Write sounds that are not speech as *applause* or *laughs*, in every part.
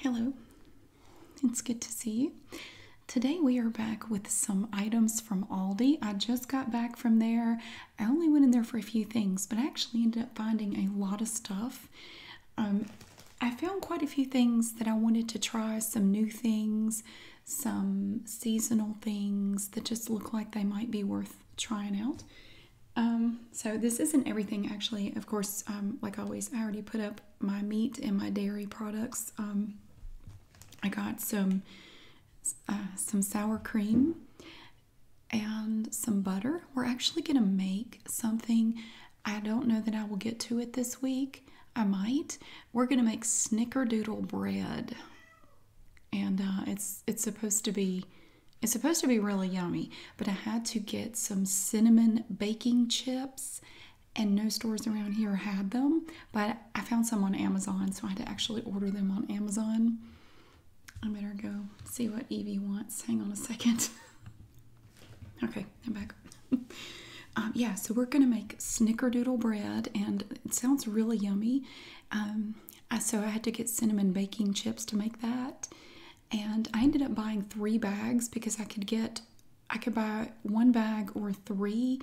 Hello, it's good to see you. Today we are back with some items from Aldi. I just got back from there. I only went in there for a few things, but actually ended up finding a lot of stuff. Um, I found quite a few things that I wanted to try, some new things, some seasonal things that just look like they might be worth trying out. Um, so this isn't everything actually. Of course, um, like always, I already put up my meat and my dairy products. Um, I got some uh, some sour cream and some butter. We're actually going to make something. I don't know that I will get to it this week. I might. We're going to make snickerdoodle bread. And uh, it's it's supposed to be it's supposed to be really yummy, but I had to get some cinnamon baking chips, and no stores around here had them. But I found some on Amazon, so I had to actually order them on Amazon. I better go see what Evie wants. Hang on a second. *laughs* okay, I'm back. *laughs* Um, yeah, so we're gonna make snickerdoodle bread, and it sounds really yummy. Um, so I had to get cinnamon baking chips to make that, and I ended up buying three bags because I could get I could buy one bag or three,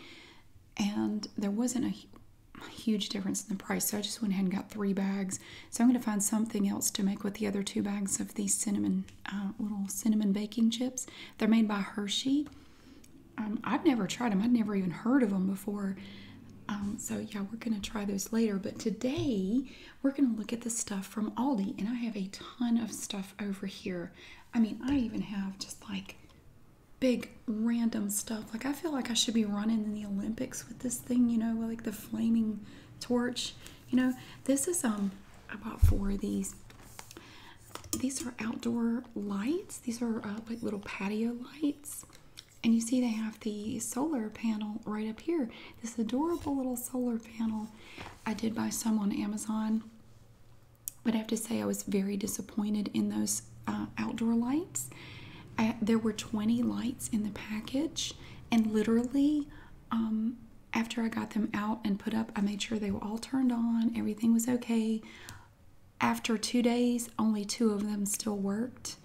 and there wasn't a huge difference in the price, so I just went ahead and got three bags. So I'm going to find something else to make with the other two bags of these cinnamon uh, little cinnamon baking chips. They're made by Hershey. Um, I've never tried them. I'd never even heard of them before. Um, so yeah, we're going to try those later. But today we're going to look at the stuff from Aldi. And I have a ton of stuff over here. I mean, I even have just like big random stuff. Like, I feel like I should be running in the Olympics with this thing, you know, like the flaming torch. You know, this is, um, about bought four of these. These are outdoor lights. These are uh, like little patio lights. And you see they have the solar panel right up here this adorable little solar panel I did buy some on Amazon. But I have to say, I was very disappointed in those uh, outdoor lights. there were 20 lights in the package, and literally, um, after I got them out and put up, I made sure they were all turned on, everything was okay. After two days, only two of them still worked.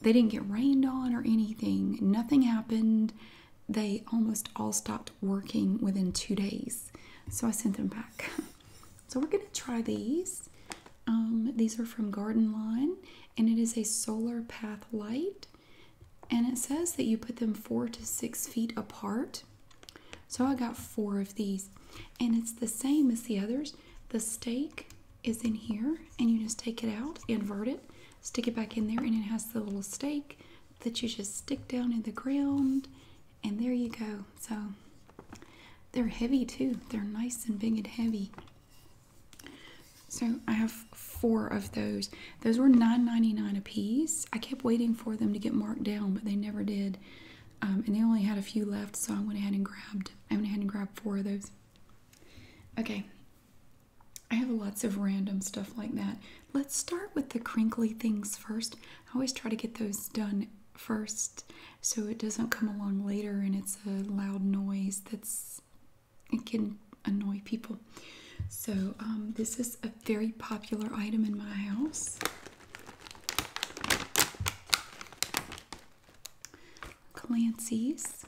They didn't get rained on or anything. Nothing happened. They almost all stopped working within two days. So I sent them back. *laughs* So we're going to try these. Um, these are from Garden Line and it is a solar path light. And it says that you put them four to six feet apart. So I got four of these. And it's the same as the others. The stake is in here and you just take it out, invert it, stick it back in there, and it has the little stake that you just stick down in the ground, and there you go. So they're heavy too, they're nice and big and heavy. So I have four of those. Those were nine ninety nine dollars a piece. I kept waiting for them to get marked down, but they never did. Um, and they only had a few left, so I went ahead and grabbed. I went ahead and grabbed four of those. Okay, I have lots of random stuff like that. Let's start with the crinkly things first. I always try to get those done first so it doesn't come along later and it's a loud noise that's it can annoy people. So um, this is a very popular item in my house. Clancy's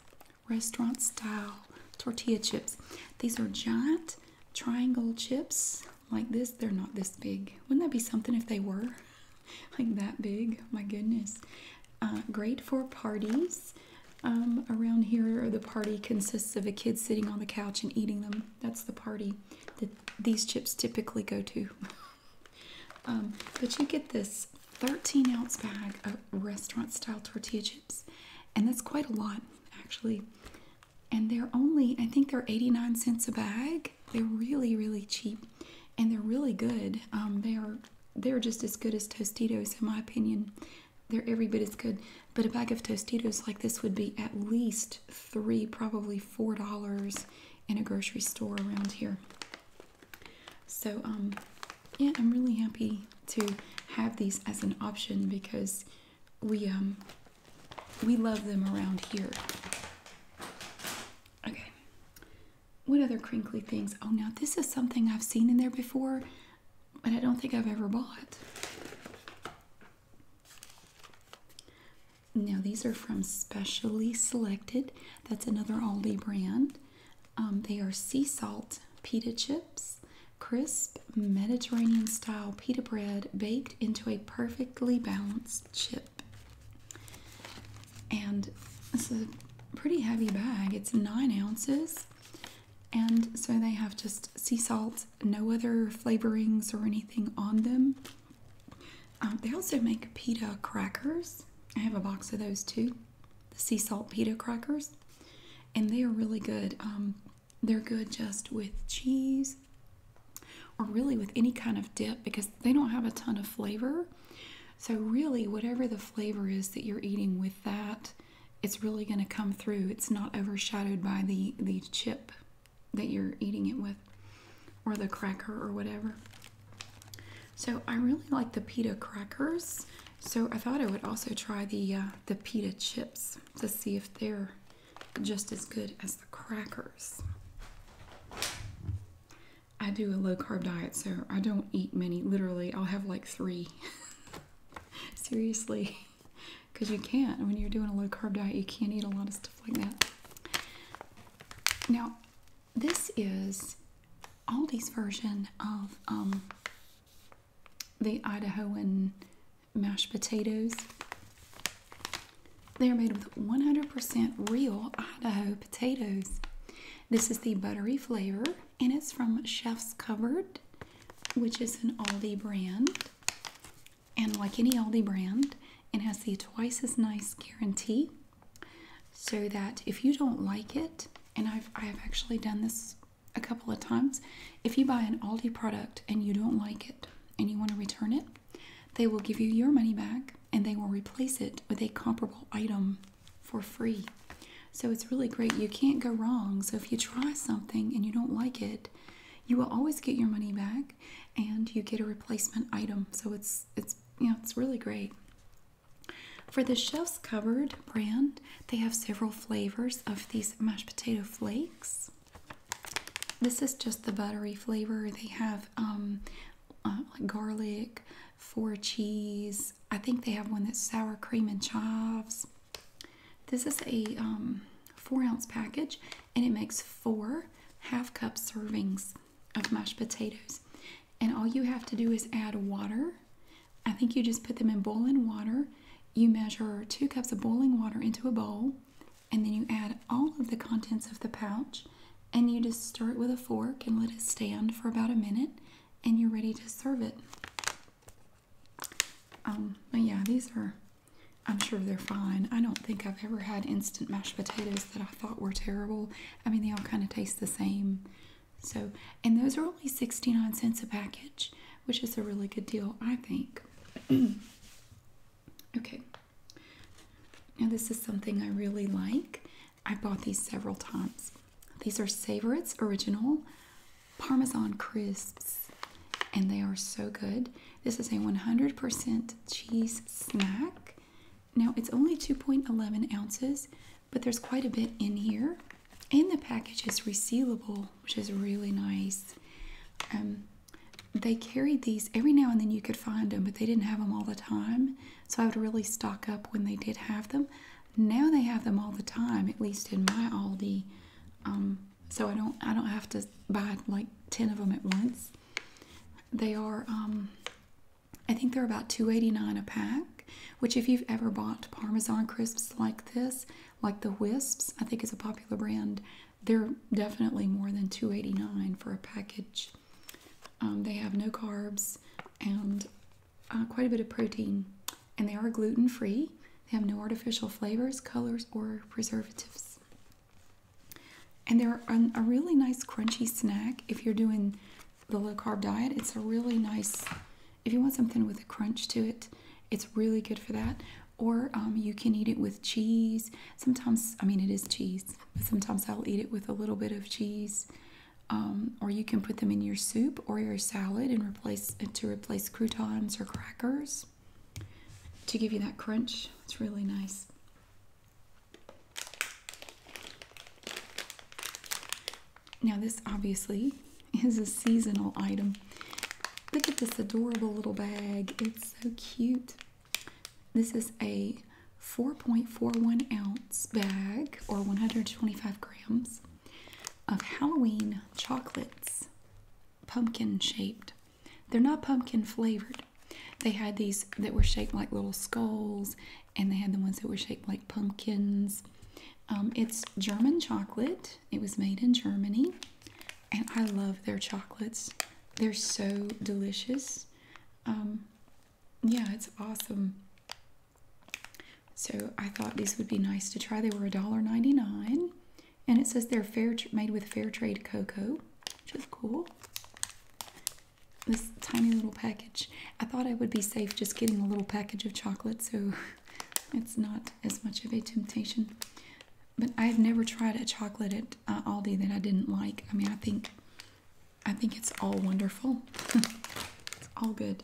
restaurant style tortilla chips. These are giant triangle chips like this. They're not this big. Wouldn't that be something if they were *laughs* like that big? My goodness. Uh, great for parties. Um, around here, the party consists of a kid sitting on the couch and eating them. That's the party that these chips typically go to. *laughs* Um, but you get this 13 ounce bag of restaurant style tortilla chips, and that's quite a lot actually. And they're only, I think they're 89 cents a bag. They're really, really cheap, and they're really good. Um, they are they're just as good as Tostitos in my opinion. They're every bit as good. But a bag of Tostitos like this would be at least three, probably four dollars in a grocery store around here. So um yeah, I'm really happy to have these as an option because we um we love them around here. Okay. What other crinkly things? Oh, now this is something I've seen in there before, but I don't think I've ever bought. Now, these are from Specially Selected. That's another Aldi brand. Um, they are sea salt pita chips, crisp Mediterranean style pita bread baked into a perfectly balanced chip. And it's a pretty heavy bag, it's nine ounces. And so they have just sea salt, no other flavorings or anything on them. Um, they also make pita crackers. I have a box of those too, the sea salt pita crackers and they are really good. Um, they're good just with cheese or really with any kind of dip because they don't have a ton of flavor. So, really, whatever the flavor is that you're eating with that, it's really going to come through. It's not overshadowed by the, the chip that you're eating it with or the cracker or whatever. So, I really like the pita crackers. So I thought I would also try the uh, the pita chips to see if they're just as good as the crackers. I do a low carb diet, so I don't eat many. Literally, I'll have like three. *laughs* Seriously, because you can't when you're doing a low carb diet, you can't eat a lot of stuff like that. Now, this is Aldi's version of um, the Idahoan mashed potatoes. They're made with 100% real Idaho potatoes. This is the buttery flavor, and it's from Chef's Covered, which is an Aldi brand. And like any Aldi brand, it has the twice as nice guarantee. So that if you don't like it, and I've I've actually done this a couple of times. If you buy an Aldi product and you don't like it and you want to return it, they will give you your money back and they will replace it with a comparable item for free. So it's really great. You can't go wrong. So if you try something and you don't like it, you will always get your money back and you get a replacement item. So it's it's you know, it's really great. For the Chef's Covered brand, they have several flavors of these mashed potato flakes. This is just the buttery flavor. They have um, uh, garlic, four cheese. I think they have one that's sour cream and chives. This is a um, four ounce package and it makes four half cup servings of mashed potatoes. And all you have to do is add water I think you just put them in boiling water. You measure two cups of boiling water into a bowl, and then you add all of the contents of the pouch, and you just stir it with a fork and let it stand for about a minute, and you're ready to serve it. Um, yeah, these are, I'm sure they're fine. I don't think I've ever had instant mashed potatoes that I thought were terrible. I mean, they all kind of taste the same. So, and those are only 69 cents a package, which is a really good deal, I think. *clears throat* okay. Now, this is something I really like. I bought these several times. These are Savorites Original Parmesan Crisps, and they are so good. This is a 100% cheese snack. Now, it's only 2.11 ounces, but there's quite a bit in here. And the package is resealable, which is really nice. Um, they carried these every now and then you could find them, but they didn't have them all the time. So I would really stock up when they did have them. Now they have them all the time, at least in my Aldi. Um, so I don't I don't have to buy like 10 of them at once. They are um, I think they're about 2.89 a pack which if you've ever bought Parmesan crisps like this, like the Wisps, I think is a popular brand, they're definitely more than two eighty nine for a package. Um, they have no carbs and uh, quite a bit of protein, and they are gluten free. They have no artificial flavors, colors, or preservatives. And they're a really nice crunchy snack if you're doing the low carb diet. It's a really nice, if you want something with a crunch to it, it's really good for that. Or um, you can eat it with cheese. Sometimes, I mean, it is cheese, but sometimes I'll eat it with a little bit of cheese. Um, or you can put them in your soup or your salad and replace to replace croutons or crackers to give you that crunch. It's really nice. Now, this obviously is a seasonal item. Look at this adorable little bag. It's so cute. This is a 4.41 ounce bag or 125 grams of Halloween chocolates, pumpkin shaped. They're not pumpkin flavored. They had these that were shaped like little skulls and they had the ones that were shaped like pumpkins. Um, it's German chocolate. It was made in Germany, and I love their chocolates. They're so delicious. Um, yeah, it's awesome. So I thought these would be nice to try. They were $1.99, and it says they're fair made with fair trade cocoa, which is cool. This tiny little package. I thought I would be safe just getting a little package of chocolate, so *laughs* it's not as much of a temptation. But I've never tried a chocolate at uh, Aldi that I didn't like. I mean, I think I think it's all wonderful. *laughs* it's all good.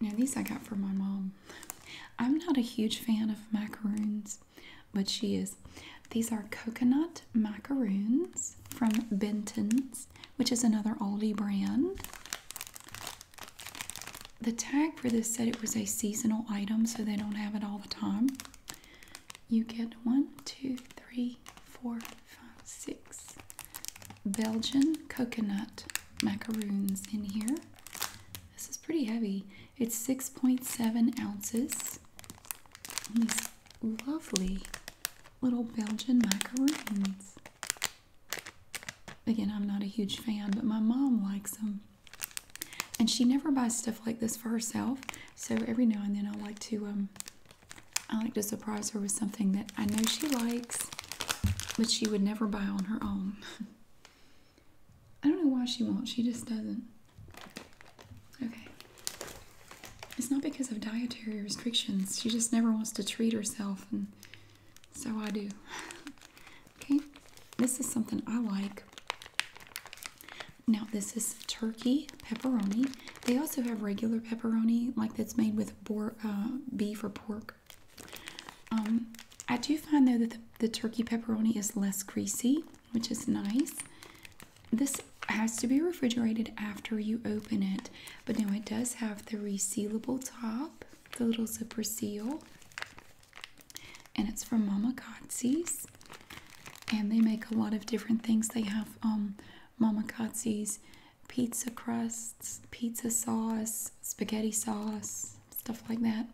Now these I got for my mom. I'm not a huge fan of macaroons is, but she is. These are coconut macaroons from Benton's, which is another Aldi brand. The tag for this said it was a seasonal item, so they don't have it all the time. You get one, two, three, four, five, six Belgian coconut macaroons in here. This is pretty heavy. It's 6.7 ounces. these lovely little Belgian macaroons. Again, I'm not a huge fan, but my mom likes them. And she never buys stuff like this for herself. So every now and then I like to um I like to surprise her with something that I know she likes, but she would never buy on her own. *laughs* I don't know why she won't, she just doesn't. Okay. It's not because of dietary restrictions. She just never wants to treat herself, and so I do. okay. This is something I like. Now, this is turkey pepperoni. They also have regular pepperoni, like that's made with uh, beef or pork. Um, I do find though that the turkey pepperoni is less greasy which is nice. This has to be refrigerated after you open it, but now it does have the resealable top, the little zipper seal, and it's from Mama Kotzie's. And they make a lot of different things. They have um, Mama Kotzie's pizza crusts, pizza sauce, spaghetti sauce, stuff like that.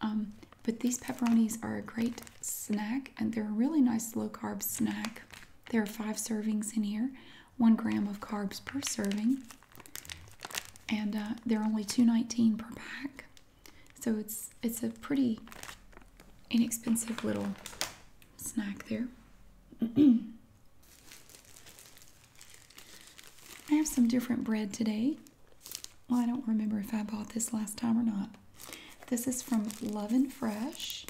Um, but these pepperonis are a great snack and they're a really nice low carb snack. There are five servings in here, one gram of carbs per serving, and uh, they're only two nineteen per pack. So it's it's a pretty inexpensive little snack there. *clears throat* I have some different bread today. Well, I don't remember if I bought this last time or not. This is from Love and Fresh,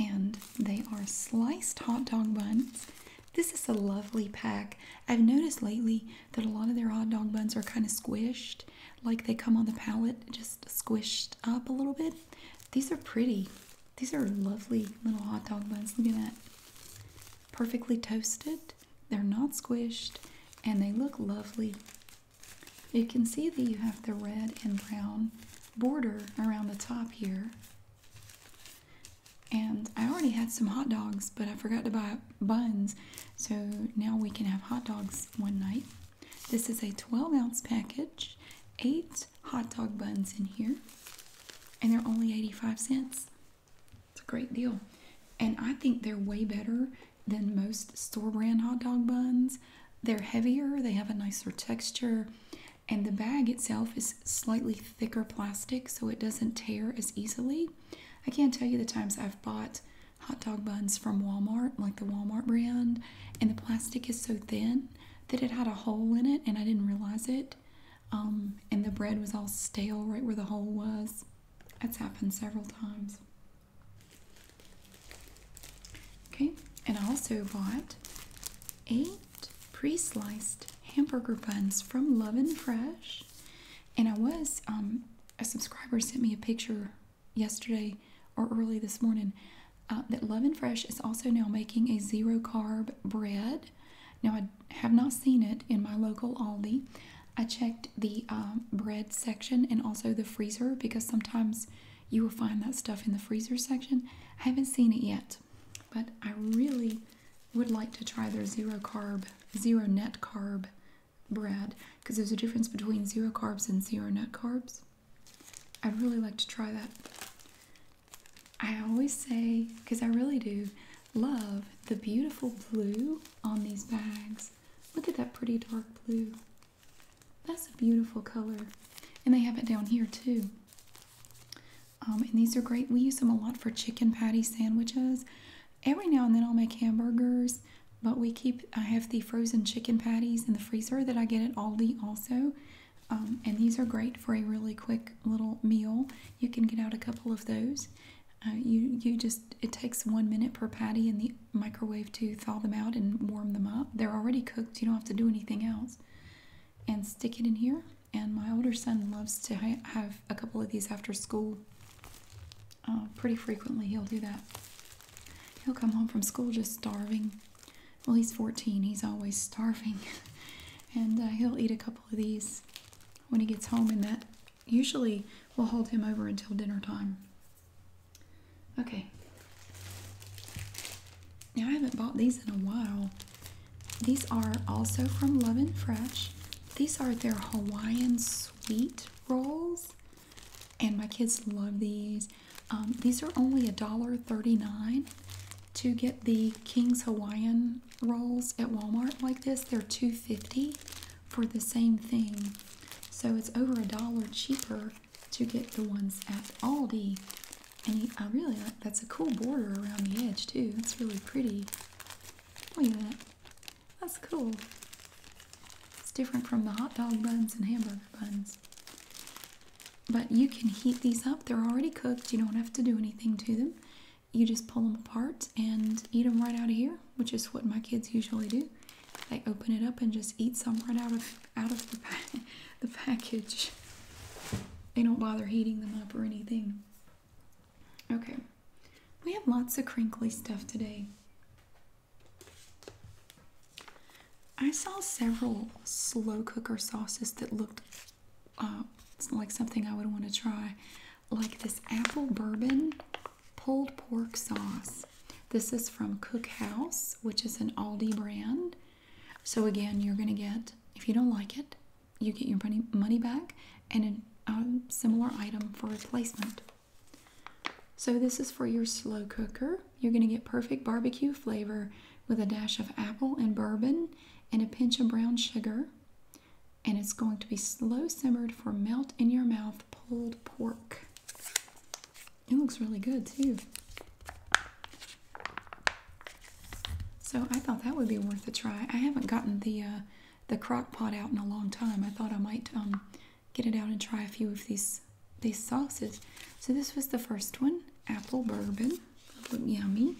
and they are sliced hot dog buns. This is a lovely pack. I've noticed lately that a lot of their hot dog buns are kind of squished, like they come on the pallet just squished up a little bit. These are pretty. These are lovely little hot dog buns. Look at that. Perfectly toasted. They're not squished and they look lovely. You can see that you have the red and brown border around the top here. And I already had some hot dogs, but I forgot to buy buns. So now we can have hot dogs one night. This is a 12 ounce package, eight hot dog buns in here, and they're only 85 cents. It's a great deal. And I think they're way better than most store brand hot dog buns. They're heavier, they have a nicer texture, and the bag itself is slightly thicker plastic so it doesn't tear as easily. I can't tell you the times I've bought hot dog buns from Walmart, like the Walmart brand, and the plastic is so thin that it had a hole in it and I didn't realize it. Um, and the bread was all stale right where the hole was. That's happened several times. Okay, and I also bought eight pre-sliced hamburger buns from Love and Fresh. And I was, um, a subscriber sent me a picture yesterday or early this morning uh, that Love and Fresh is also now making a zero carb bread. Now, I have not seen it in my local Aldi, I checked the um, bread section and also the freezer because sometimes you will find that stuff in the freezer section. I haven't seen it yet, but I really would like to try their zero carb, zero net carb bread because there's a difference between zero carbs and zero net carbs. I'd really like to try that. I always say, because I really do, love the beautiful blue on these bags. Look at that pretty dark blue. That's a beautiful color. And they have it down here too. Um, and these are great. We use them a lot for chicken patty sandwiches. Every now and then I'll make hamburgers, but we keep, I have the frozen chicken patties in the freezer that I get at Aldi also. Um, and these are great for a really quick little meal. You can get out a couple of those. Uh, you, you just, it takes one minute per patty and the microwave to thaw them out and warm them up. They're already cooked, you don't have to do anything else. And stick it in here. And my older son loves to have a couple of these after school. Uh, pretty frequently, he'll do that. He'll come home from school just starving. Well, he's 14, he's always starving. *laughs* and uh, he'll eat a couple of these when he gets home, and that usually we'll hold him over until dinner time. Okay. Now I haven't bought these in a while. These are also from Love and Fresh. These are their Hawaiian sweet rolls, and my kids love these. Um, these are only a dollar thirty nine to get the King's Hawaiian rolls at Walmart like this. they are fifty for the same thing. So it's over a dollar cheaper to get the ones at Aldi. And I really like that's a cool border around the edge too. It's really pretty. Look at that. That's cool. It's different from the hot dog buns and hamburger buns. But you can heat these up. They're already cooked. You don't have to do anything to them. You just pull them apart and eat them right out of here, which is what my kids usually do they open it up and just eat some right out of out of the *laughs* the package. They don't bother heating them up or anything. Okay, we have lots of crinkly stuff today. I saw several slow cooker sauces that looked uh, like something I would want to try, like this apple bourbon pulled pork sauce. This is from Cookhouse, which is an Aldi brand. So again, you're going to get, if you don't like it, you get your money, money back and a similar item for replacement. So this is for your slow cooker. You're going to get perfect barbecue flavor with a dash of apple and bourbon and a pinch of brown sugar. And it's going to be slow simmered for melt in your mouth pulled pork. It looks really good too. So I thought that would be worth a try. I haven't gotten the uh, the crock pot out in a long time. I thought I might um, get it out and try a few of these these sauces. So this was the first one, apple bourbon. That yummy.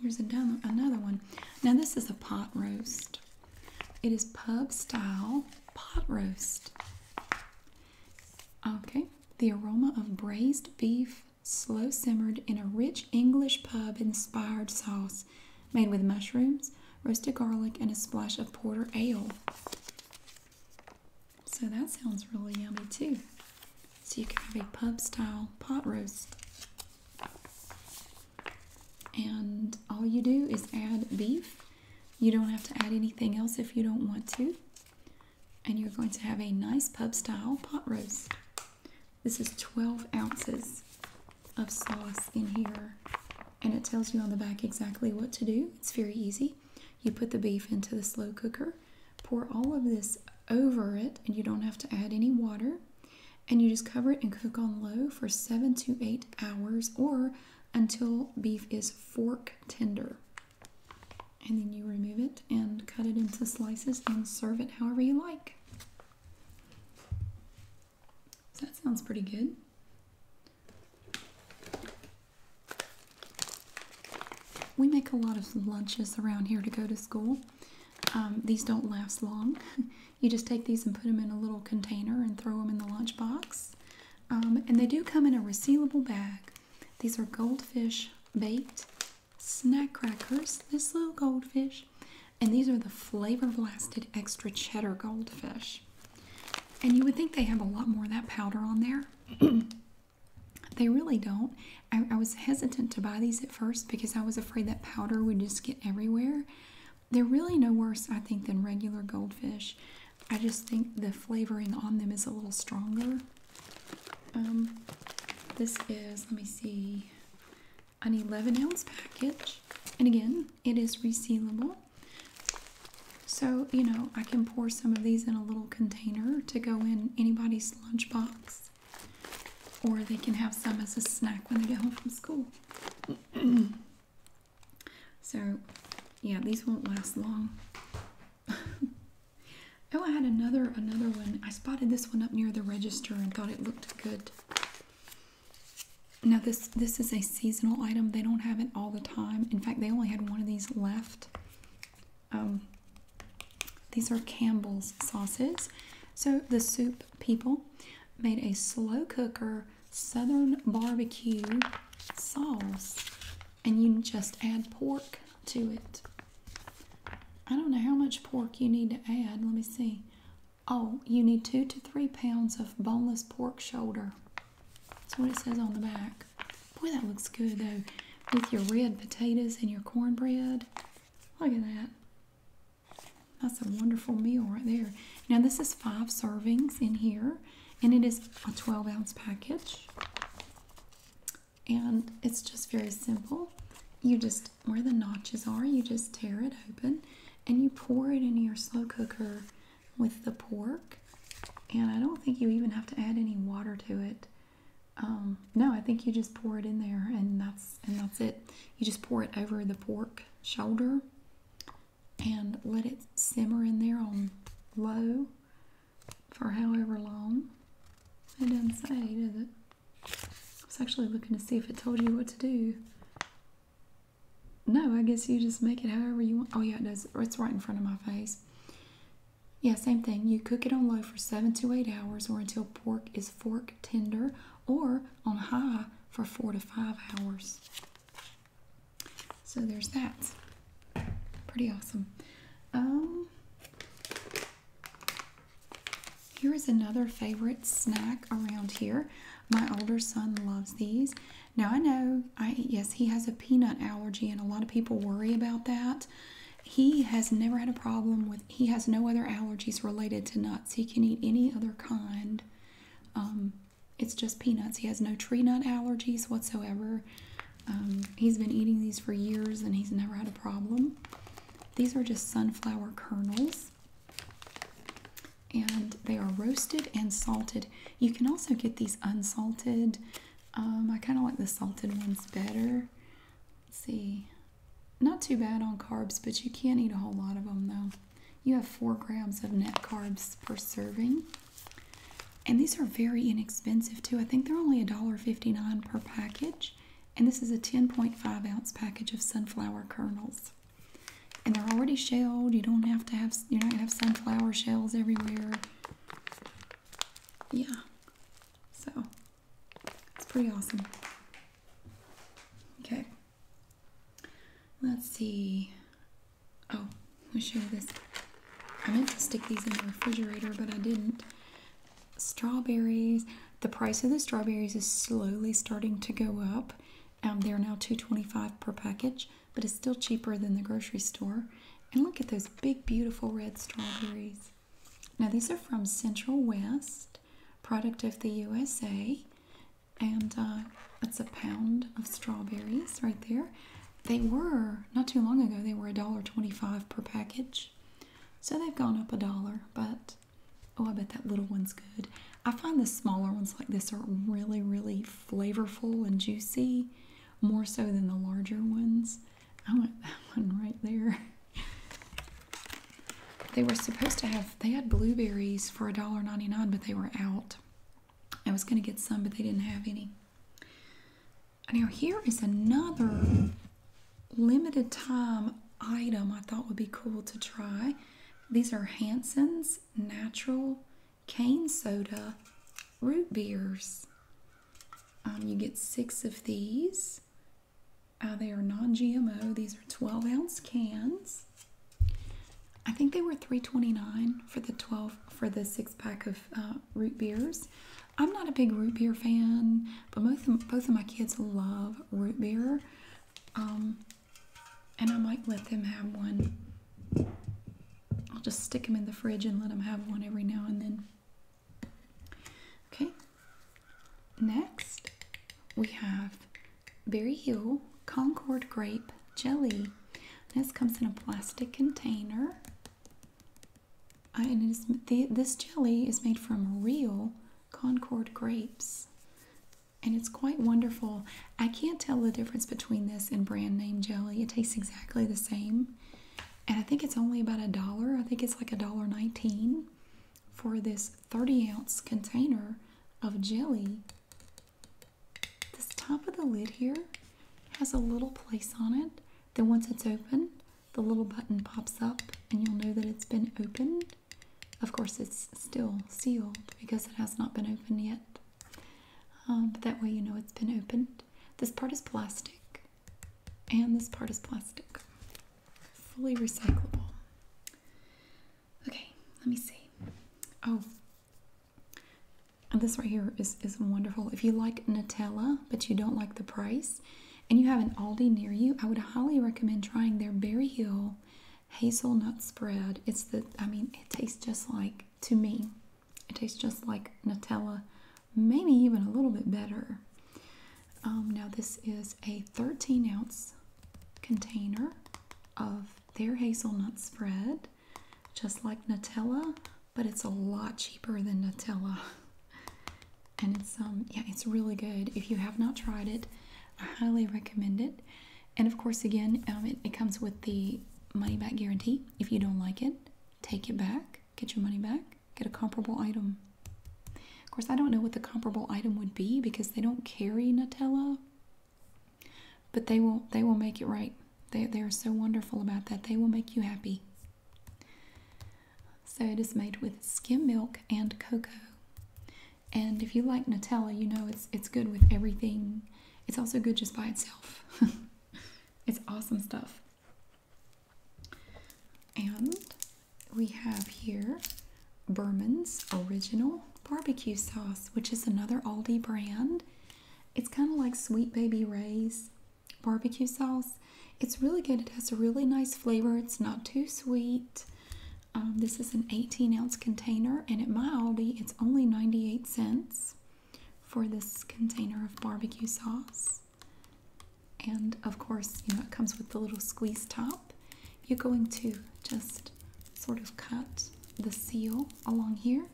Here's another one. Now, this is a pot roast. It is pub style pot roast. Okay, the aroma of braised beef, slow simmered in a rich English pub inspired sauce made with mushrooms, roasted garlic, and a splash of porter ale. So that sounds really yummy too. So you can have a pub style pot roast. And all you do is add beef. You don't have to add anything else if you don't want to. And you're going to have a nice pub style pot roast. This is 12 ounces of sauce in here. And it tells you on the back exactly what to do. It's very easy. You put the beef into the slow cooker, pour all of this over it, and you don't have to add any water and you just cover it and cook on low for seven to eight hours or until beef is fork tender. And then you remove it and cut it into slices and serve it however you like. that sounds pretty good. We make a lot of lunches around here to go to school. Um, these don't last long. *laughs* You just take these and put them in a little container and throw them in the lunchbox. Um, and they do come in a resealable bag. These are goldfish baked snack crackers. This little goldfish. And these are the flavor blasted extra cheddar goldfish. And you would think they have a lot more of that powder on there. *clears throat* they really don't. I, I was hesitant to buy these first because I was afraid that powder would just get everywhere. They're really no worse, I think, than regular goldfish. I just think the flavoring on them is a little stronger. Um, this is, let me see, an 11 ounce package. And again, it is resealable. So, you know, I can pour some of these in a little container to go in anybody's lunchbox. Or they can have some as a snack when they get home from school. *clears throat* so, yeah, these won't last long. *laughs* oh, I had another another one. I spotted this one up near the register and thought it looked good. Now this this is a seasonal item. They don't have it all the time. In fact, they only had one of these left. Um, these are Campbell's sauces. So the soup people made a slow cooker southern barbecue sauce and you just add pork to it. I don't know how much pork you need to add. Let me see. Oh, you need two to three pounds of boneless pork shoulder. That's what it says on the back. Boy, that looks good though. With your red potatoes and your cornbread. Look at that. That's a wonderful meal right there. Now, this is five servings in here, and it is a 12 ounce package. And it's just very simple. You just, where the notches are, you just tear it open and you pour it into your slow cooker with the pork. And I don't think you even have to add any water to it. Um, no, I think you just pour it in there, and that's and that's it. You just pour it over the pork shoulder and let it simmer in there on low for however long. It doesn't say, does it? I was actually looking to see if it told you what to do. No, I guess you just make it however you want. Oh, yeah, it does. It's right in front of my face. Yeah, same thing. You cook it on low for 7 to 8 hours or until pork is fork tender or on high for four to five hours. So there's that. Pretty awesome. Um, here is another favorite snack around here. My older son loves these. Now I know, I yes, he has a peanut allergy, and a lot of people worry about that. He has never had a problem with he has no other allergies related to nuts. He can eat any other kind. Um, it's just peanuts. He has no tree nut allergies whatsoever. Um, he's been eating these for years and he's never had a problem. These are just sunflower kernels and they are roasted and salted. You can also get these unsalted. Um, I kind of like the salted ones better. Let's see, not too bad on carbs, but you can't eat a whole lot of them though. You have four grams of net carbs per serving. And these are very inexpensive too. I think they're only a dollar fifty nine per package. And this is a 10.5 ounce package of sunflower kernels. And they're already shelled. You don't have to have, you're not to have sunflower shells everywhere. Yeah. So it's pretty awesome. Okay. Let's see. Oh, I'll show you this. I meant to stick these in the refrigerator, but I didn't. Strawberries. The price of the strawberries is slowly starting to go up. Um, they're now two twenty five per package, but it's still cheaper than the grocery store. And look at those big, beautiful red strawberries. Now, these are from Central West product, of the USA, and uh, it's a pound of strawberries right there. They were not too long ago; they were a dollar twenty-five per package, so they've gone up a dollar. But oh, I bet that little one's good. I find the smaller ones like this are really, really flavorful and juicy, more so than the larger ones. I want *laughs* that one right there. They were supposed to have, they had blueberries for a dollar ninety nine, but they were out. I was going to get some, but they didn't have any. Now, here is another limited time item I thought would be cool to try. These are Hanson's Natural Cane Soda Root Beers. Um, you get six of these uh, they are non-GMO. These are 12 ounce cans. I think they were 3.29 for the 12 for the six pack of uh, root beers. I'm not a big root beer fan, but both of, both of my kids love root beer, um, and I might let them have one. I'll just stick them in the fridge and let them have one every now and then. Okay, Next, we have Berry Hill Concord Grape Jelly. This comes in a plastic container. And this jelly is made from real Concord grapes. And it's quite wonderful. I can't tell the difference between this and brand name jelly. It tastes exactly the same. And I think it's only about a dollar. I think it's like a dollar nineteen for this 30 ounce container of jelly. This top of the lid here has a little place on it Then once it's open, the little button pops up and you'll know that it's been opened. Of course, it's still sealed because it has not been opened yet. Um, but that way you know it's been opened. This part is plastic and this part is plastic. Fully recyclable. Okay, let me see. Oh, and this right here is, is wonderful. If you like Nutella, but you don't like the price, and you have an Aldi near you, I would highly recommend trying their Berry Hill hazelnut spread. It's the, I mean, it tastes just like, to me, it tastes just like Nutella, maybe even a little bit better. Um, now, this is a 13 ounce container of their hazelnut spread, just like Nutella, but it's a lot cheaper than Nutella. *laughs* And it's um yeah, it's really good. If you have not tried it, I highly recommend it. And of course, again, um, it, it comes with the money back guarantee. If you don't like it, take it back, get your money back, get a comparable item. Of course, I don't know what the comparable item would be because they don't carry Nutella, but they will they will make it right. They they are so wonderful about that. They will make you happy. So it is made with skim milk and cocoa. And if you like Nutella, you know it's it's good with everything. It's also good just by itself. *laughs* it's awesome stuff. And we have here Berman's Original Barbecue Sauce, which is another Aldi brand. It's kind of like Sweet Baby Ray's barbecue sauce. It's really good. It has a really nice flavor. It's not too sweet. Um, this is an 18 ounce container, and at my Aldi, it's only 98 cents for this container of barbecue sauce and of course you know it comes with the little squeeze top you're going to just sort of cut the seal along here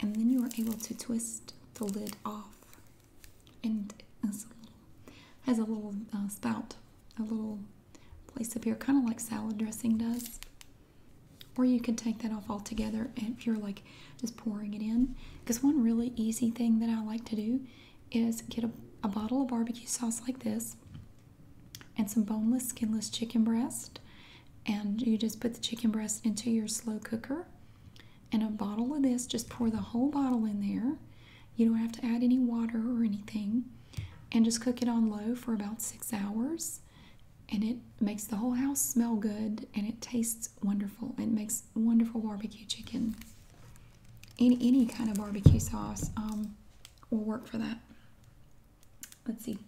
and then you are able to twist the lid off and has a little, uh, spout a little place up here kind of like salad dressing does or you can take that off altogether if you're like just pouring it in because one really easy thing that i like to do is get a, bottle of barbecue sauce like this and some boneless, skinless chicken breast. And you just put the chicken breast into your slow cooker. And a bottle of this, just pour the whole bottle in there. You don't have to add any water or anything. And just cook it on low for about six hours. And it makes the whole house smell good and it tastes wonderful. It makes wonderful barbecue chicken any any kind of barbecue sauce um, will work for that. Let's see.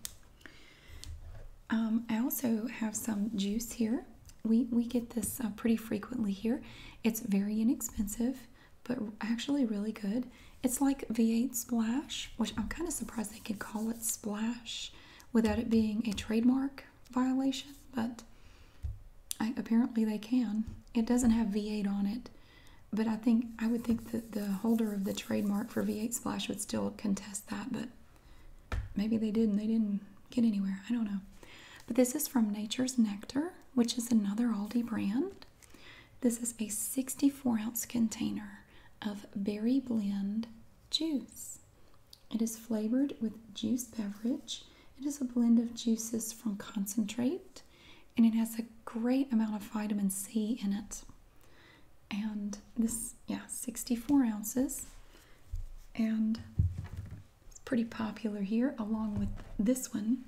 Um, I also have some juice here. We we get this uh, pretty frequently here. It's very inexpensive, but actually really good. It's like V8 Splash, which I'm kind of surprised they could call it Splash without it being a trademark violation, but apparently they can. It doesn't have V8 on it, but I think I would think that the holder of the trademark for V8 Splash would still contest that, but maybe they didn't. They didn't get anywhere. I don't know. But this is from Nature's Nectar, which is another Aldi brand. This is a 64 ounce container of berry blend juice. It is flavored with juice beverage it is a blend of juices from concentrate and it has a great amount of vitamin C in it. And this, yeah, 64 ounces. And it's pretty popular here along with this one.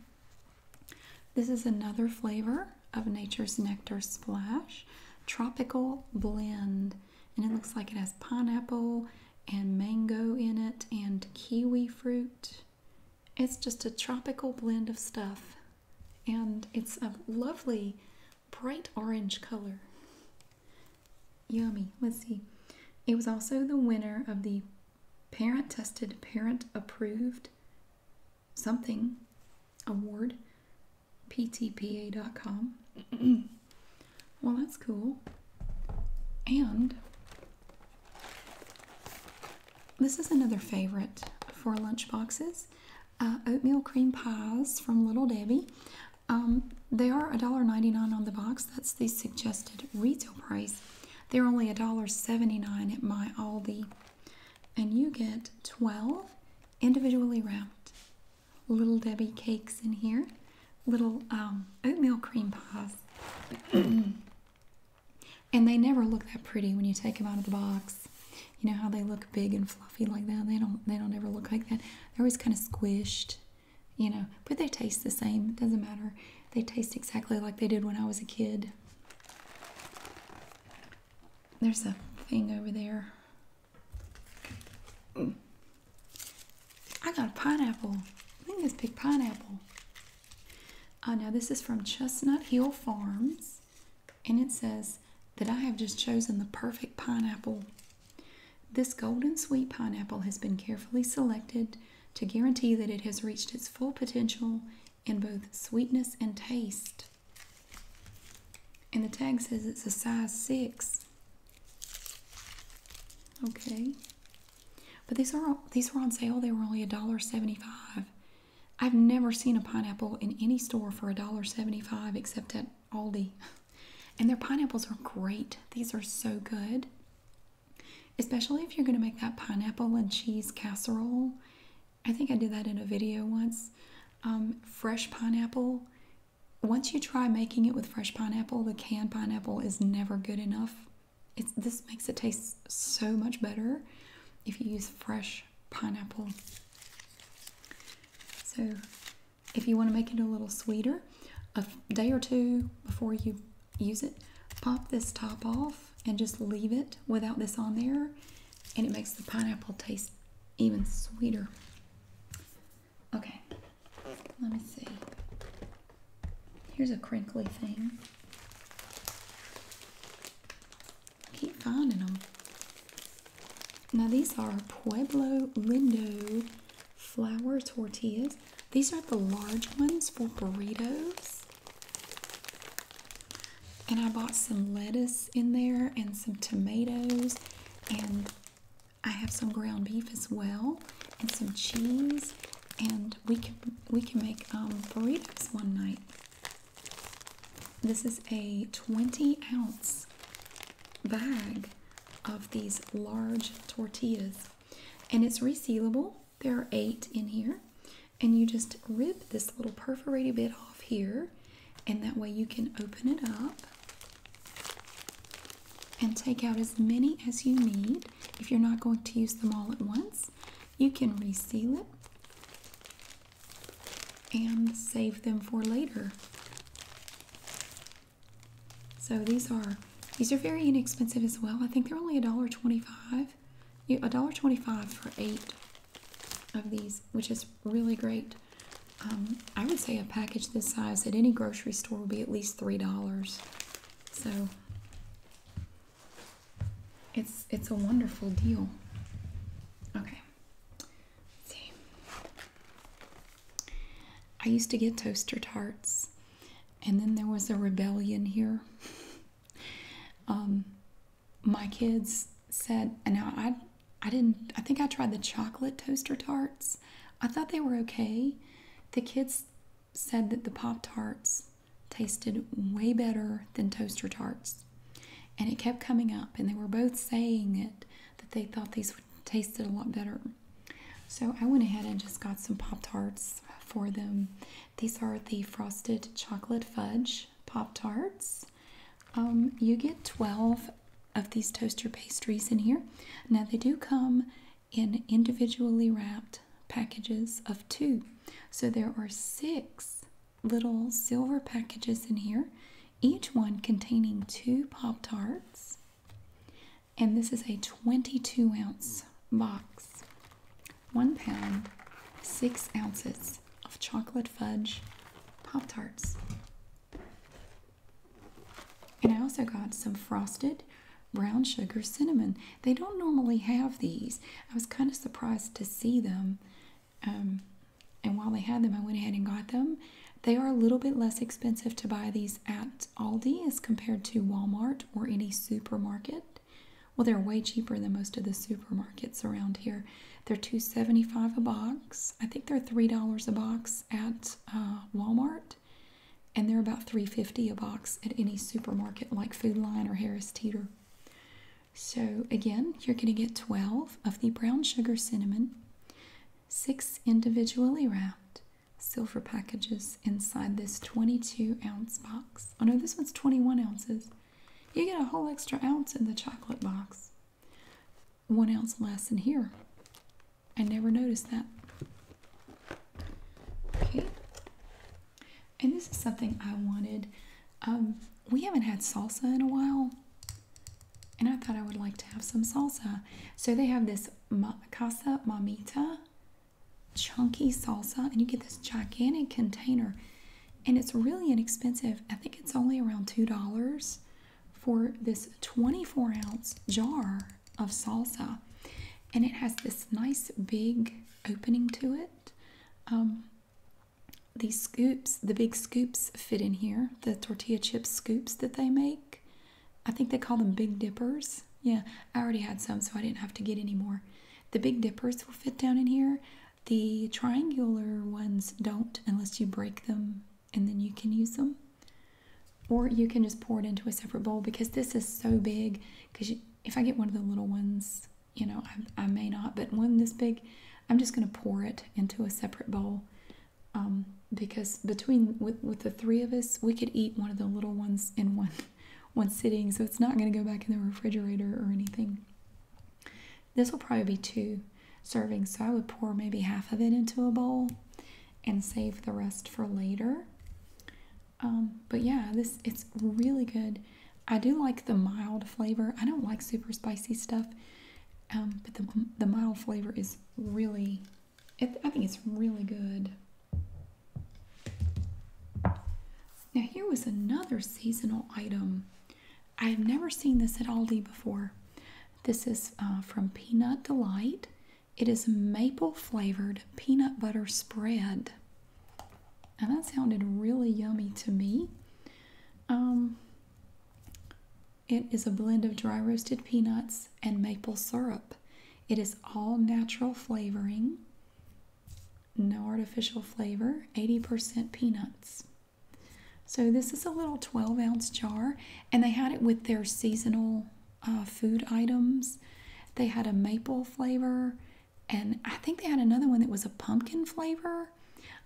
This is another flavor of Nature's Nectar Splash Tropical Blend. And it looks like it has pineapple and mango in it and kiwi fruit it's just a tropical blend of stuff, and it's a lovely bright orange color. Yummy. Let's see. It was also the winner of the Parent Tested, Parent Approved Something Award, ptpa.com. *clears throat* well, that's cool. And this is another favorite for lunchboxes uh, oatmeal cream pies from Little Debbie. Um, they are $1.99 on the box. That's the suggested retail price. They're only $1.79 at my Aldi. And you get 12 individually wrapped Little Debbie cakes in here, little um, oatmeal cream pies. *clears throat* And they never look that pretty when you take them out of the box. You know how they look big and fluffy like that? They don't they don't ever look like that. They're always kind of squished, you know, but they taste the same. It doesn't matter. They taste exactly like they did when I was a kid. There's a thing over there. Mm. I got a pineapple. I think it's big pineapple. Oh, now, this is from Chestnut Hill Farms, and it says that I have just chosen the perfect pineapple. This golden sweet pineapple has been carefully selected to guarantee that it has reached its full potential in both sweetness and taste. And the tag says it's a size 6. Okay. But these are these were on sale. They were only a dollar seventy-five. I've never seen a pineapple in any store for a dollar seventy-five except at Aldi. *laughs* And their pineapples are great. These are so good. Especially if you're gonna make that pineapple and cheese casserole. I think I did that in a video once. Um, fresh pineapple. Once you try making it with fresh pineapple, the canned pineapple is never good enough. It's this makes it taste so much better if you use fresh pineapple. So, if you want to make it a little sweeter, a day or two before you use it, pop this top off and just leave it without this on there, and it makes the pineapple taste even sweeter. Okay, let me see. Here's a crinkly thing. keep finding them. Now these are Pueblo Window Flower tortillas. These are the large ones for burritos. And I bought some lettuce in there and some tomatoes and I have some ground beef as well and some cheese and we can we can make um, burritos one night. This is a 20 ounce bag of these large tortillas, and it's resealable. There are eight in here, and you just rip this little perforated bit off here, and that way you can open it up and take out as many as you need. If you're not going to use them all at once, you can reseal it and save them for later. So these are these are very inexpensive as well. I think they're only a A dollar twenty-five. dollar twenty-five for eight of these, which is really great. Um, I would say a package this size at any grocery store will be at least $3. So it's it's a wonderful deal. Okay. see. I used to get toaster tarts and then there was a rebellion here. *laughs* um my kids said and now I I didn't I think I tried the chocolate toaster tarts. I thought they were okay. The kids said that the pop tarts tasted way better than toaster tarts. And it kept coming up, and they were both saying it that they thought these tasted a lot better. So I went ahead and just got some Pop Tarts for them. These are the frosted chocolate fudge Pop Tarts. Um, you get 12 of these toaster pastries in here. Now they do come in individually wrapped packages of two. So there are six little silver packages in here, each one containing two Pop Tarts. And this is a 22 ounce box, one pound, six ounces of chocolate fudge Pop Tarts. And I also got some frosted brown sugar cinnamon they don't normally have these i was kind of surprised to see them um, and while they had them i went ahead and got them they are a little bit less expensive to buy these at aldi as compared to walmart or any supermarket well they're way cheaper than most of the supermarkets around here they're 275 a box i think they're three dollars a box at uh, walmart and they're about 350 a box at any supermarket like Food Lion or Harris Teeter. So again, you're going to get 12 of the brown sugar cinnamon, 6 individually wrapped silver packages inside this 22 ounce box. Oh no, this one's 21 ounces. You get a whole extra ounce in the chocolate box. One ounce less in here. I never noticed that. Okay, and this is something I wanted. Um, we haven't had salsa in a while, and I thought I would like to have some salsa. So they have this Casa Mamita chunky salsa, and you get this gigantic container, and it's really inexpensive. I think it's only around $2 for this 24 ounce jar of salsa, and it has this nice big opening to it. Um, these scoops, the big scoops, fit in here. The tortilla chip scoops that they make. I think they call them Big Dippers. Yeah, I already had some, so I didn't have to get any more. The Big Dippers will fit down in here. The triangular ones don't unless you break them and then you can use them. Or you can just pour it into a separate bowl because this is so big because if I get one of the little ones, you know, I, may not, but one this big, I'm just going to pour it into a separate bowl um, because between with the three of us, we could eat one of the little ones in one *laughs* one sitting, so it's not going to go back in the refrigerator or anything. This will probably be two servings, so I would pour maybe half of it into a bowl and save the rest for later. Um, but yeah, this it's really good. I do like the mild flavor. I don't like super spicy stuff, um, but the the mild flavor is really. I think it's really good. Now here was another seasonal item. I have never seen this at Aldi before. This is uh, from Peanut Delight. It is maple flavored peanut butter spread and that sounded really yummy to me. Um, it is a blend of dry roasted peanuts and maple syrup. It is all natural flavoring, no artificial flavor, 80% peanuts. So, this is a little 12 ounce jar, and they had it with their seasonal uh, food items. They had a maple flavor, and I think they had another one that was a pumpkin flavor.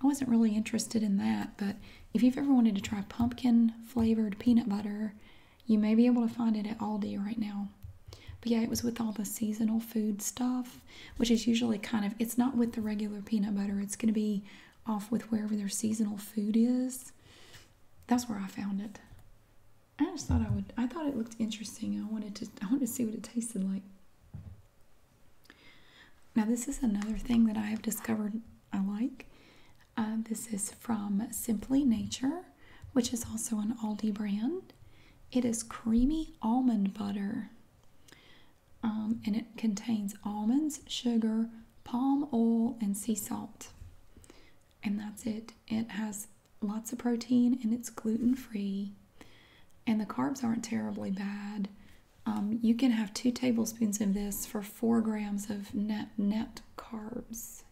I wasn't really interested in that, but if you've ever wanted to try pumpkin flavored peanut butter, you may be able to find it at Aldi right now. But yeah, it was with all the seasonal food stuff, which is usually kind of, it's not with the regular peanut butter. It's going to be off with wherever their seasonal food is. That's where I found it. I just thought I would. I thought it looked interesting. I wanted to. I wanted to see what it tasted like. Now this is another thing that I have discovered I like. Uh, this is from Simply Nature, which is also an Aldi brand. It is creamy almond butter, um, and it contains almonds, sugar, palm oil, and sea salt. And that's it. It has lots of protein and it's gluten free, and the carbs aren't terribly bad. Um, you can have two tablespoons of this for four grams of net net carbs,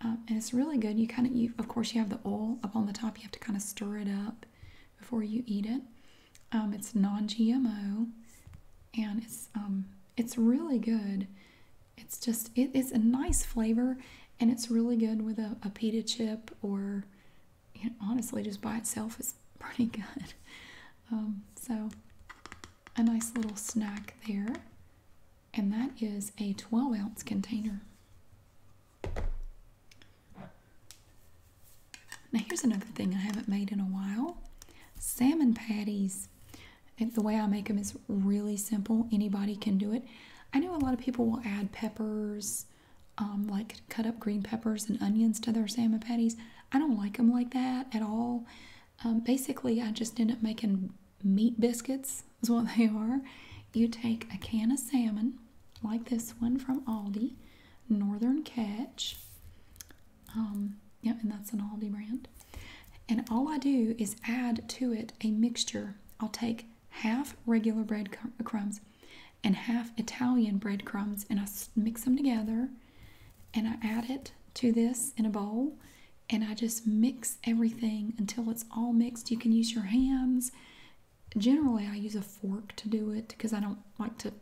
um, and it's really good. You kind of, you of course, you have the oil up on the top. You have to kind of stir it up before you eat it. Um, it's non-GMO, and it's it's really good. It's just, it is a nice flavor and it's really good with a, a pita chip or honestly, just by itself is *laughs* pretty good. Um, so, a nice little snack there. And that is a 12 ounce container. Now, here's another thing I haven't made in a while salmon patties the way I make them is really simple. Anybody can do it. I know a lot of people will add peppers, um, like cut up green peppers and onions to their salmon patties. I don't like them like that at all. Um, basically, I just end up making meat biscuits, is what they are. You take a can of salmon, like this one from Aldi, Northern Catch. Um, yeah, and that's an Aldi brand. And all I do is add to it a mixture I'll take half regular bread crumbs and half Italian bread crumbs, and I mix them together and I add it to this in a bowl and I just mix everything until it's all mixed. You can use your hands. Generally, I use a fork to do it because I don't like to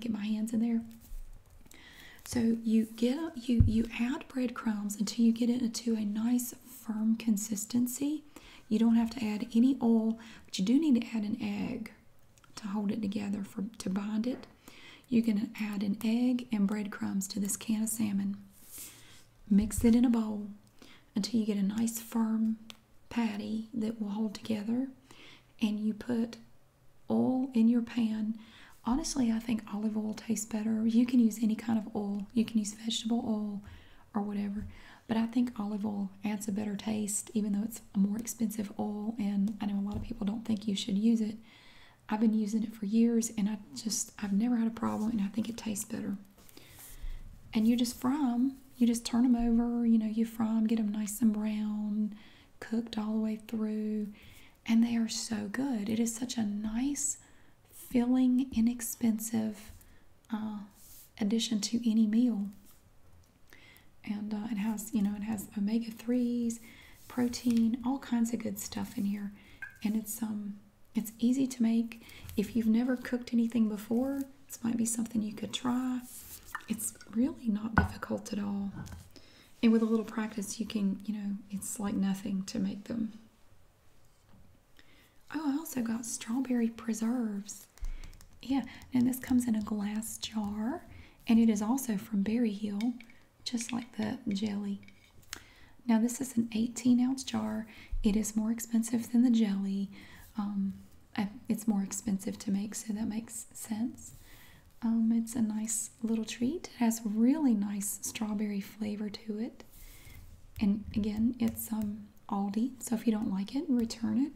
get my hands in there. So you get you you add breadcrumbs until you get it to a nice firm consistency. You don't have to add any oil, but you do need to add an egg to hold it together for to bind it. You can add an egg and breadcrumbs to this can of salmon. Mix it in a bowl until you get a nice firm patty that will hold together and you put oil in your pan. Honestly, I think olive oil tastes better. You can use any kind of oil. You can use vegetable oil or whatever. But I think olive oil adds a better taste, even though it's a more expensive oil. And I know a lot of people don't think you should use it. I've been using it for years, and I just I've never had a problem, and I think it tastes better. And you just fry them. You just turn them over. You know, you fry them, get them nice and brown, cooked all the way through, and they are so good. It is such a nice filling, inexpensive uh, addition to any meal. And uh, it has, you know, it has omega threes, protein, all kinds of good stuff in here, and it's um, it's easy to make. If you've never cooked anything before, this might be something you could try. It's really not difficult at all. And with a little practice, you can, you know, it's like nothing to make them. Oh, I also got strawberry preserves. Yeah, and this comes in a glass jar, and it is also from Berry Hill, just like the jelly. Now, this is an 18 ounce jar. It is more expensive than the jelly. Um, it's more expensive to make, so that makes sense. Um, it's a nice little treat. It has really nice strawberry flavor to it. And again, it's um, Aldi, so if you don't like it, return it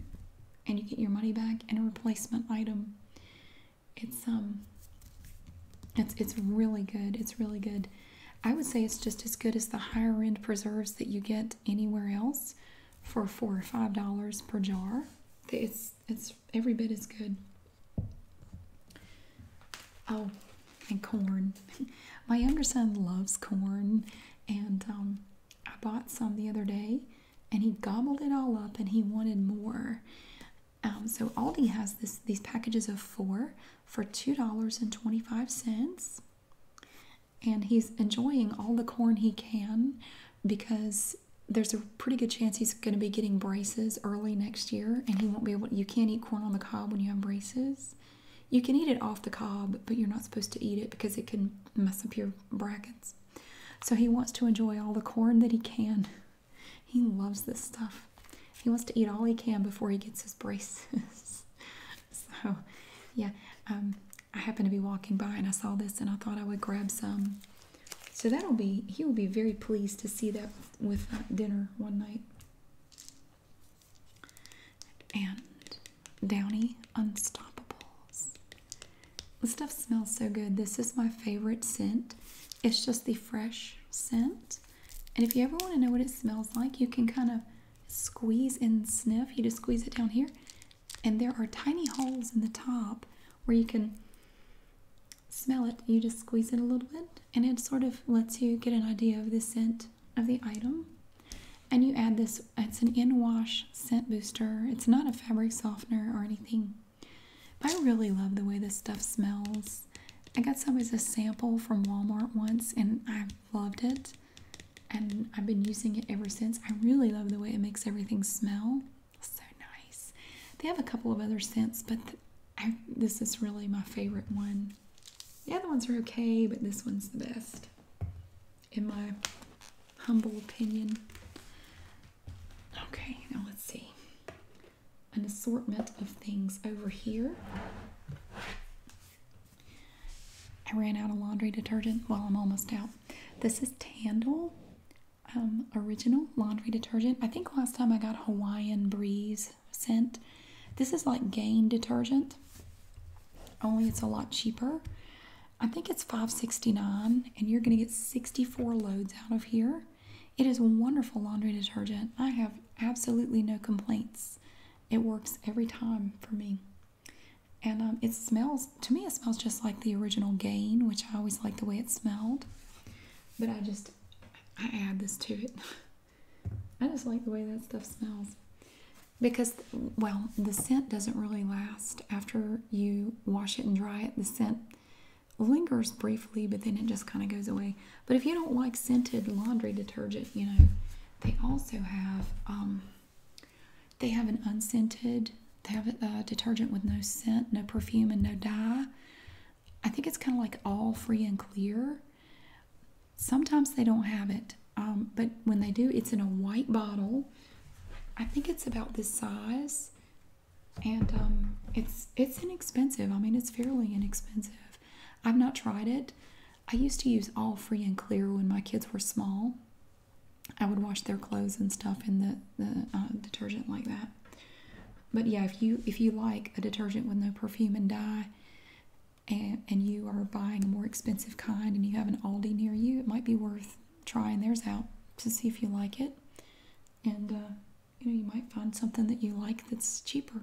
and you get your money back and a replacement item. It's um it's it's really good. It's really good. I would say it's just as good as the higher end preserves that you get anywhere else for four or five dollars per jar. It's it's every bit as good. Oh, and corn. *laughs* My younger son loves corn, and um, I bought some the other day, and he gobbled it all up, and he wanted more. Um, so Aldi has this these packages of four for two dollars and twenty five cents, and he's enjoying all the corn he can because there's a pretty good chance he's going to be getting braces early next year, and he won't be able. You can't eat corn on the cob when you have braces. You can eat it off the cob, but you're not supposed to eat it because it can mess up your brackets. So he wants to enjoy all the corn that he can. He loves this stuff. He wants to eat all he can before he gets his braces. *laughs* so, yeah, um, I happened to be walking by and I saw this and I thought I would grab some. So that'll be, he will be very pleased to see that with uh, dinner one night and Downy Unstoppables. This stuff smells so good. This is my favorite scent. It's just the fresh scent. And if you ever want to know what it smells like, you can kind of squeeze and sniff. You just squeeze it down here, and there are tiny holes in the top where you can smell it. You just squeeze it a little bit, and it sort of lets you get an idea of the scent of the item. And you add this, it's an in wash scent booster. It's not a fabric softener or anything. I really love the way this stuff smells. I got some as a sample from Walmart once and I loved it. And I've been using it ever since. I really love the way it makes everything smell. So nice. They have a couple of other scents, but this is really my favorite one the other ones are okay, but this one's the best, in my humble opinion. Okay, now let's see. An assortment of things over here. I ran out of laundry detergent. Well, I'm almost out. This is Tandle um, Original Laundry Detergent. I think last time I got Hawaiian Breeze scent. This is like Gain detergent, only it's a lot cheaper. I think it's $5.69, and you're going to get 64 loads out of here. It is wonderful laundry detergent. I have absolutely no complaints. It works every time for me. And um, it smells, to me, it smells just like the original Gain, which I always like the way it smelled. But I just, I add this to it. *laughs* I just like the way that stuff smells. Because, well, the scent doesn't really last. After you wash it and dry it, the scent lingers briefly, but then it just kind of goes away. But if you don't like scented laundry detergent, you know, they also have, um, they have an unscented, they have a, a uh, detergent with no scent, no perfume, and no dye. I think it's kind of like all free and clear. Sometimes they don't have it, um, but when they do, it's in a white bottle. I think it's about this size, and um, it's it's inexpensive. I mean, it's fairly inexpensive. I've not tried it. I used to use all free and clear when my kids were small. I would wash their clothes and stuff in the the uh, detergent like that. But yeah, if you if you like a detergent with no perfume and dye, and, you are buying a more expensive kind and you have an Aldi near you, it might be worth trying theirs out to see if you like it. And uh, you know, you might find something that you like that's cheaper.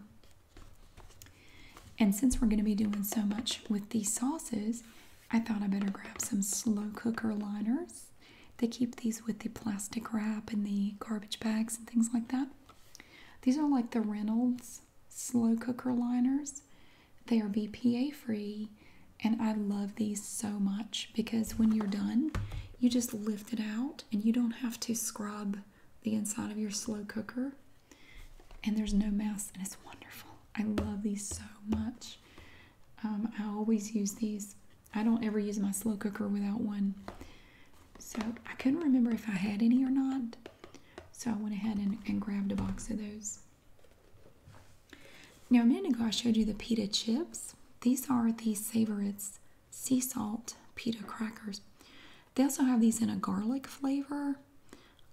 And since we're going to be doing so much with the sauces, I thought I better grab some slow cooker liners. They keep these with the plastic wrap and the garbage bags and things like that. These are like the Reynolds slow cooker liners. They are BPA free and I love these so much because when you're done, you just lift it out and you don't have to scrub the inside of your slow cooker. And there's no mess and it's wonderful. I love these so much. Um, I always use these. I don't ever use my slow cooker without one. So I couldn't remember if I had any or not. So I went ahead and, grabbed a box of those. Now a minute ago I showed you the pita chips. These are the Savorit's sea salt pita crackers. They also have these in a garlic flavor.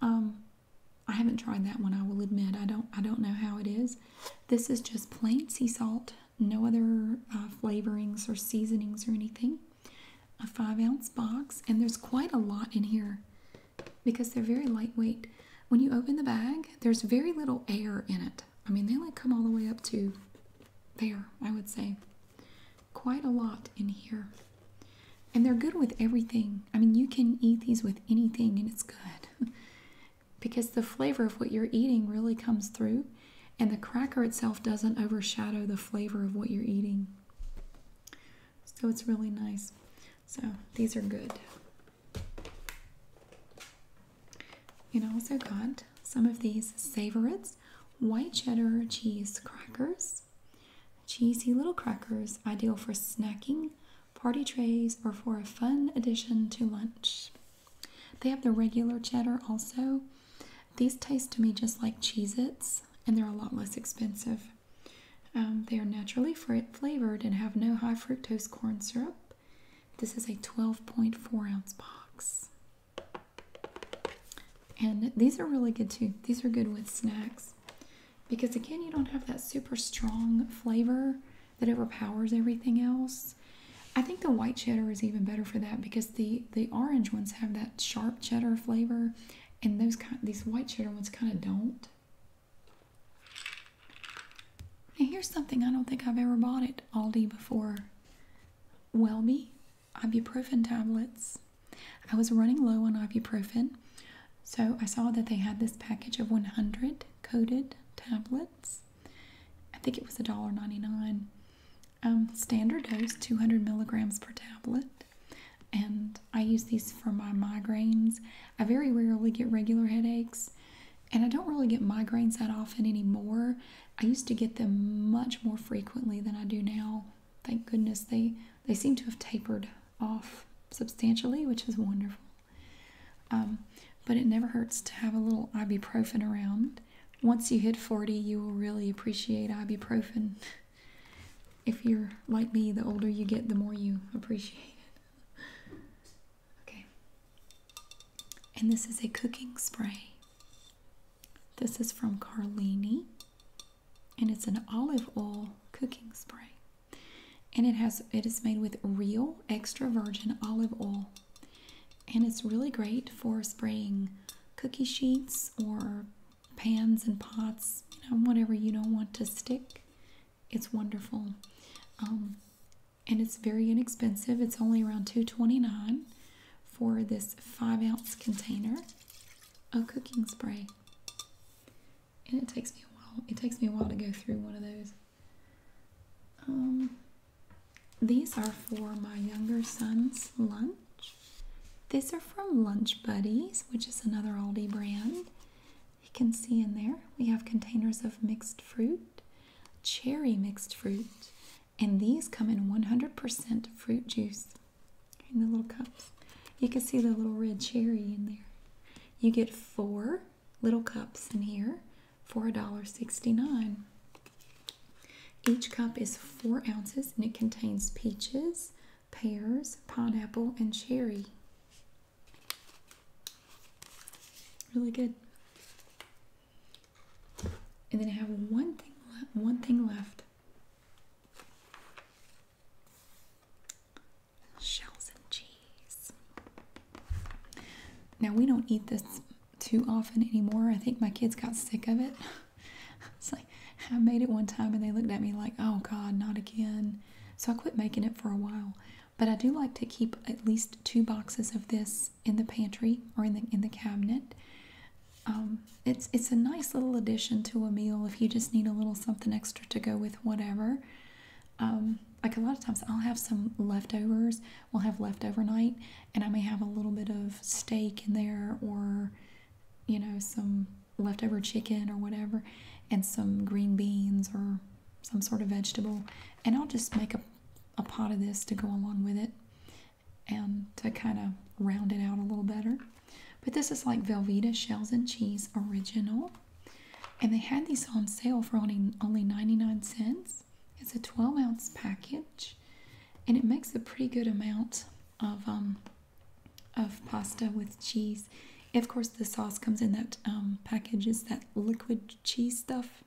Um, I haven't tried that one. I will admit I don't. I don't know how it is. This is just plain sea salt, no other uh, flavorings or seasonings or anything a five ounce box, and there's quite a lot in here because they're very lightweight. When you open the bag, there's very little air in it. I mean, they like come all the way up to there, I would say. Quite a lot in here. And they're good with everything. I mean, you can eat these with anything and it's good *laughs* because the flavor of what you're eating really comes through and the cracker itself doesn't overshadow the flavor of what you're eating. So it's really nice. So these are good. You also got some of these Savorites white cheddar cheese crackers. Cheesy little crackers, ideal for snacking, party trays, or for a fun addition to lunch. They have the regular cheddar also, these taste to me just like Cheez Its, and they're a lot less expensive. Um, they are naturally flavored and have no high fructose corn syrup. This is a 12.4 ounce box. And these are really good too. These are good with snacks because, again, you don't have that super strong flavor that overpowers everything else. I think the white cheddar is even better for that because the the orange ones have that sharp cheddar flavor, and those kind these white cheddar ones kind of don't. Now here's something I don't think I've ever bought at Aldi before. Welby ibuprofen tablets. I was running low on ibuprofen, so I saw that they had this package of 100 coated tablets. I think it was $1.99. Um, standard dose 200 milligrams per tablet. And I use these for my migraines. I very rarely get regular headaches, and I don't really get migraines that often anymore. I used to get them much more frequently than I do now. Thank goodness they they seem to have tapered off substantially, which is wonderful. Um, but it never hurts to have a little ibuprofen around once you hit 40, you will really appreciate ibuprofen. *laughs* If you're like me, the older you get, the more you appreciate it. *laughs* Okay. And this is a cooking spray. This is from Carlini, and it's an olive oil cooking spray. And it has it is made with real extra virgin olive oil and it's really great for spraying cookie sheets or pans and pots, you whatever you don't want to stick. It's wonderful. Um, and it's very inexpensive. It's only around $2.29 for this five ounce container of cooking spray. And it takes me a while. It takes me a while to go through one of those. Um, these are for my younger son's lunch. These are from Lunch Buddies, which is another Aldi brand. You can see in there we have containers of mixed fruit, cherry mixed fruit, and these come in 100% fruit juice in the little cups. You can see the little red cherry in there. You get four little cups in here for a dollar sixty nine. Each cup is four ounces and it contains peaches, pears, pineapple, and cherry. Really good. And then I have one thing one thing left. Shells and cheese. Now we don't eat this too often anymore. I think my kids got sick of it. *laughs* it's like I made it one time and they looked at me like, "Oh God, not again." So I quit making it for a while. But I do like to keep at least two boxes of this in the pantry or in the in the cabinet. Um, it's it's a nice little addition to a meal if you just need a little something extra to go with whatever. Um, like a lot of times, I'll have some leftovers. We'll have leftover night, and I may have a little bit of steak in there or you know some leftover chicken or whatever and some green beans or some sort of vegetable and I'll just make a, a pot of this to go along with it and to kind of round it out a little better. But this is like Velveeta Shells and Cheese Original. And they had these on sale for only, only 99 cents. It's a 12 ounce package and it makes a pretty good amount of um, of pasta with cheese. Of course, the sauce comes in that um, package is that liquid cheese stuff,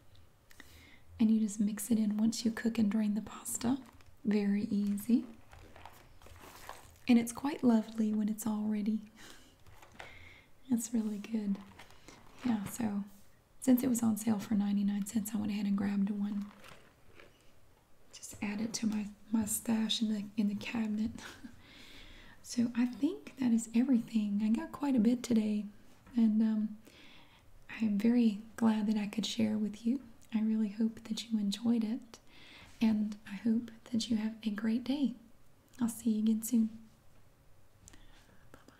and you just mix it in once you cook and drain the pasta. Very easy, and it's quite lovely when it's all ready. It's really good. Yeah, so since it was on sale for 99 cents, I went ahead and grabbed one. Just add it to my mustache in the in the cabinet. *laughs* so I think that is everything. I got quite a bit today, and I am um, very glad that I could share with you. I really hope that you enjoyed it, and I hope that you have a great day. I'll see you again soon. Bye bye.